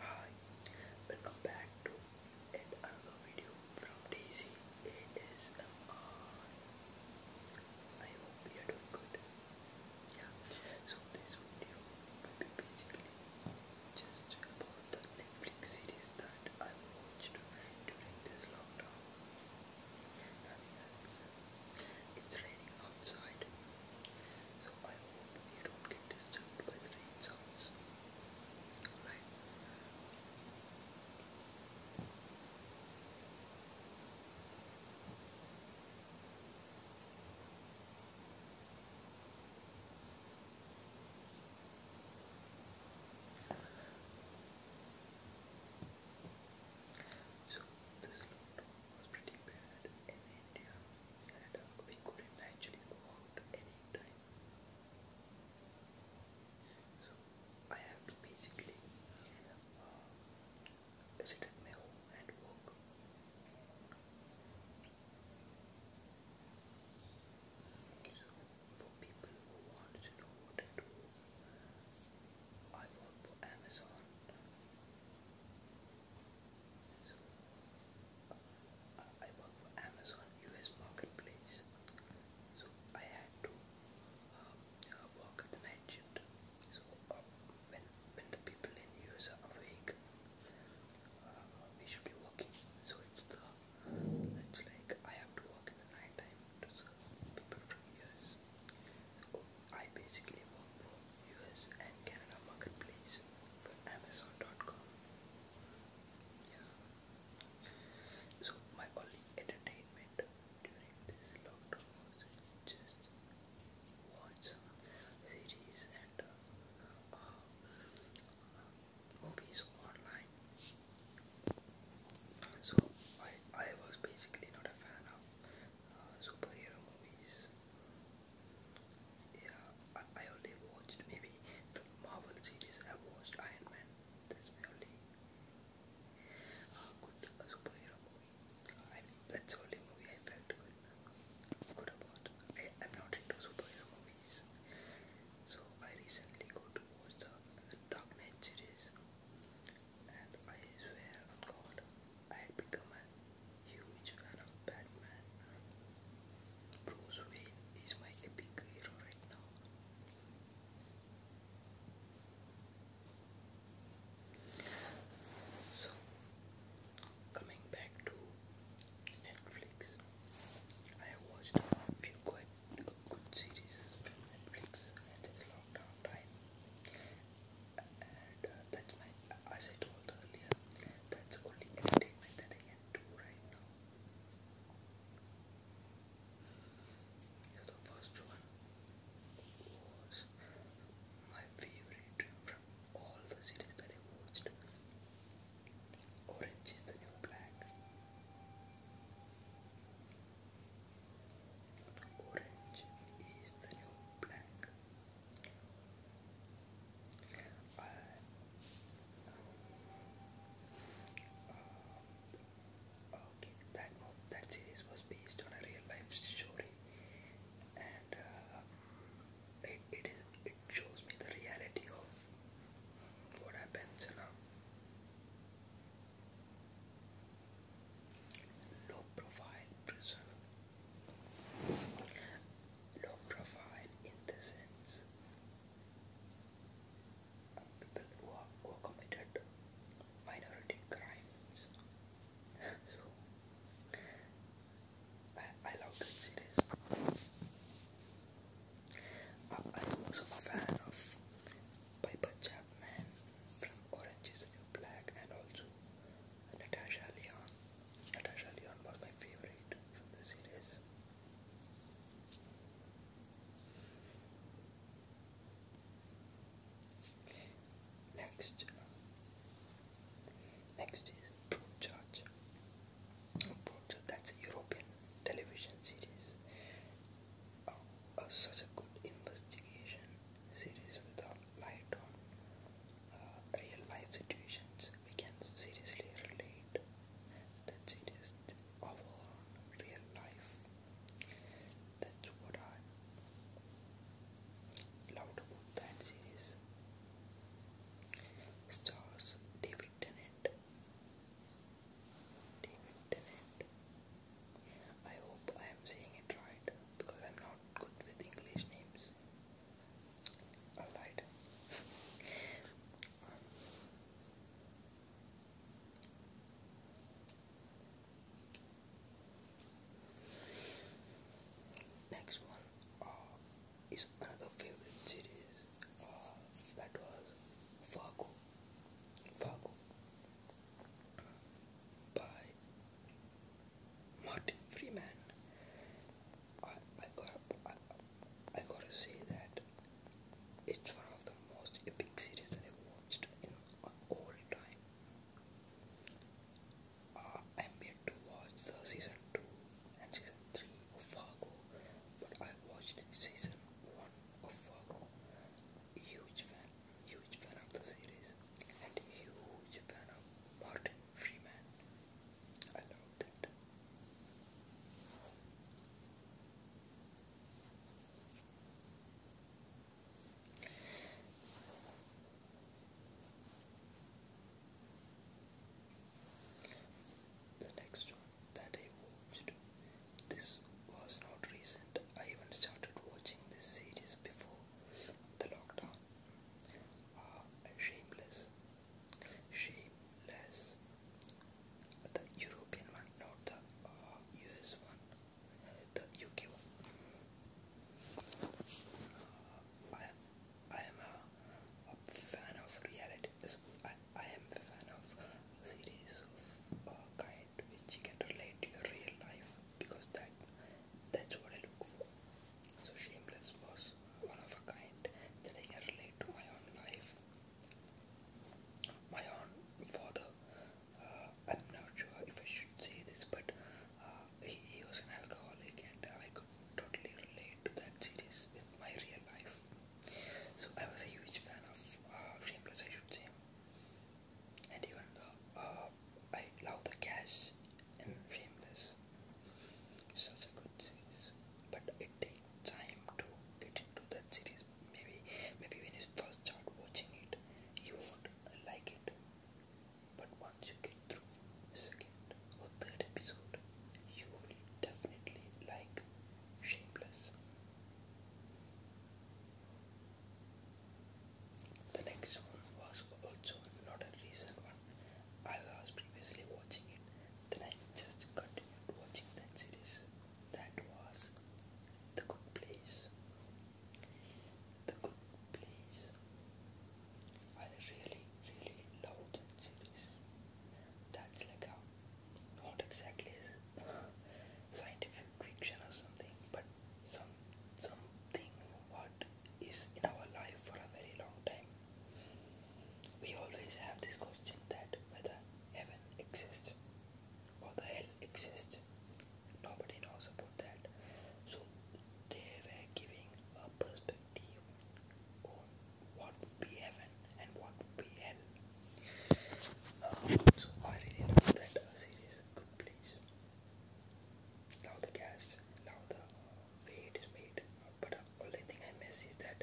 Hi, welcome back to another video from Daisy ASMR. I hope you are doing good. Yeah, so this video will be basically just about the Netflix series that I watched during this lockdown. Nothing else. It's raining outside, so I hope you don't get disturbed by the rain sounds. So this lockdown was pretty bad in India and uh, we couldn't actually go out any time. So I have to basically uh, sit and work. So for people who want to know what I do, I work for Amazon. So, I work for Amazon US Marketplace. So I had to uh, uh, work at night shift. So uh, when when the people in US are awake, we should be working. So it's the it's like I have to work in the night time to serve people from US. I basically work for US and Canada marketplace for Amazon.com. Yeah. So my only entertainment during this lockdown was just watch series and uh, uh, movies online. So I I was basically not a fan of superhero movies. Yeah, I, only watched maybe Marvel series. I watched Iron Man. That's my only uh, good superhero movie. I mean, that's only movie I felt good, good about. I, am not into superhero movies, so I recently got to watch the Dark Knight series and I swear on God, I had become a huge fan of Batman. Bruce Wayne is my epic hero right now. So, coming back to Netflix, I have watched a few quite good series from Netflix from downtime. And that's my, as I told earlier, that's only entertainment that I can do right now. the first one was my favorite from all the cities that I watched. Orange is the New Black. Orange is the new black. Uh, uh, okay, that that series was based on a real life story, and uh, it it shows me the reality of what happens Low profile prison. Low profile in the sense of people who are committed minority crimes. I, I love that series. I was a fan of Piper Chapman from Orange is the New Black and also Natasha Leon. Natasha Leon was my favorite from the series. Next, next is Broadchurch. Broadchurch, that's European television series. Uh, uh, such a good investigation series with a light on uh, real life situations. We can seriously relate that series to real life. That's what I loved about that series. Stars David Tennant David Tennant. I hope I am saying it right because I'm not good with English names. I Next one, uh, is another favorite series uh, that was Fargo. Fargo by Martin Freeman. I, I got I, I gotta say that it's one of the most epic series that I've watched in uh, all time. I'm yet to watch the season two and season three Fargo, but I watched season one of Fargo. Huge fan, huge fan of the series, and huge fan of Martin Freeman. I love that. The next one that I watched, this was not recent. I even started watching this series before the lockdown. shameless, shameless. The European one, not the US uh, one, uh, the UK one. Uh, I am a, fan of reality. I, am a fan of series of uh, kind which can relate to your real life because that that's what I look for. So Shameless was one of a kind that I can relate to my own life, my own father. Uh, I'm not sure if I should say this, but uh, he, was an alcoholic, and I could totally relate to that series with my real life. So I was a huge fan of uh, Shameless, I should say. And even though uh, I love the cash in Shameless, such a good series, but it takes time to get into that series. Maybe, maybe when you first start watching it, you won't like it. But once you get through second or third episode, you will definitely like Shapeless. The next one was also not a recent one. I was previously watching it, then I just continued watching that series. That was The Good Place the good place. I really, really love that That's like a not exactly scientific fiction or something, but some something what is in our life for a very long time. We always have this question that whether heaven exists or the hell exists nobody knows about that so they are giving a perspective on what would be heaven and what would be hell um, so I really love that uh, series good place love the cast love the uh, way it is made but uh, only thing I miss is that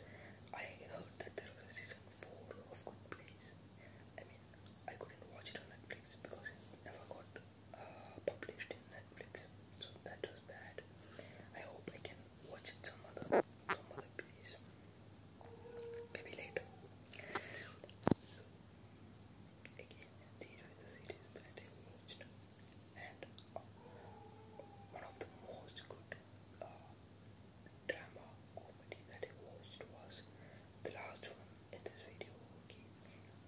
I heard that there was season 4 of Good Place I mean I couldn't watch it on Netflix because it's never got uh, published in Netflix, so that was bad. I hope I can watch it some other some other place, maybe later. So again, these were the series that I watched, and uh, one of the most good uh, drama comedy that I watched was the last one in this video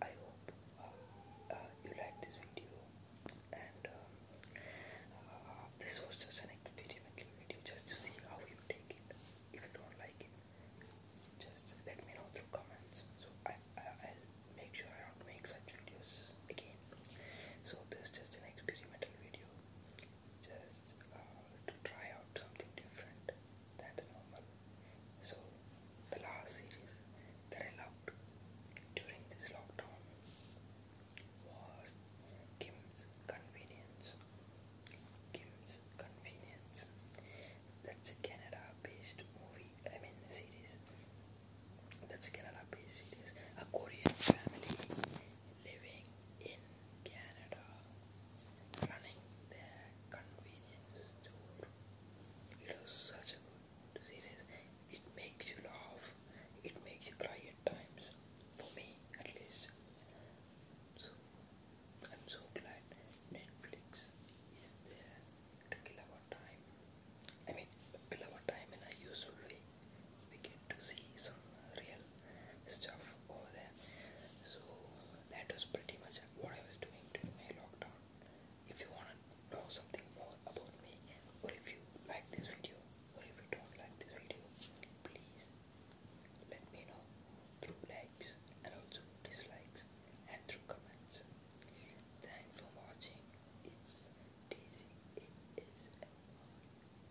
I hope uh, uh, you like this video and um, uh, this was just an experimental video just to see how you take it if you don't like it just let me know through comments so I, I, will make sure I don't make such videos again so this is just an experimental video just to try out something different than normal so the last series that I loved during this lockdown was Kim's Convenience. Kim's Convenience. That's a Canada-based movie. I mean series. That's a Canada-based series. A Korean family living in Canada running their convenience store. It was such a good series. It makes you laugh. It makes you cry at times. For me, at least. So, I'm so glad Netflix is there to kill our time. I mean, kill our time in a useful way. We get to see some real stuff over there. So that was pretty much what I was doing during my lockdown. If you wanna know something more about me, or if you like this video, or if you don't like this video, please let me know through likes and also dislikes and through comments. Thanks for watching. It's Daisy. It is.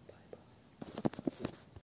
Bye bye.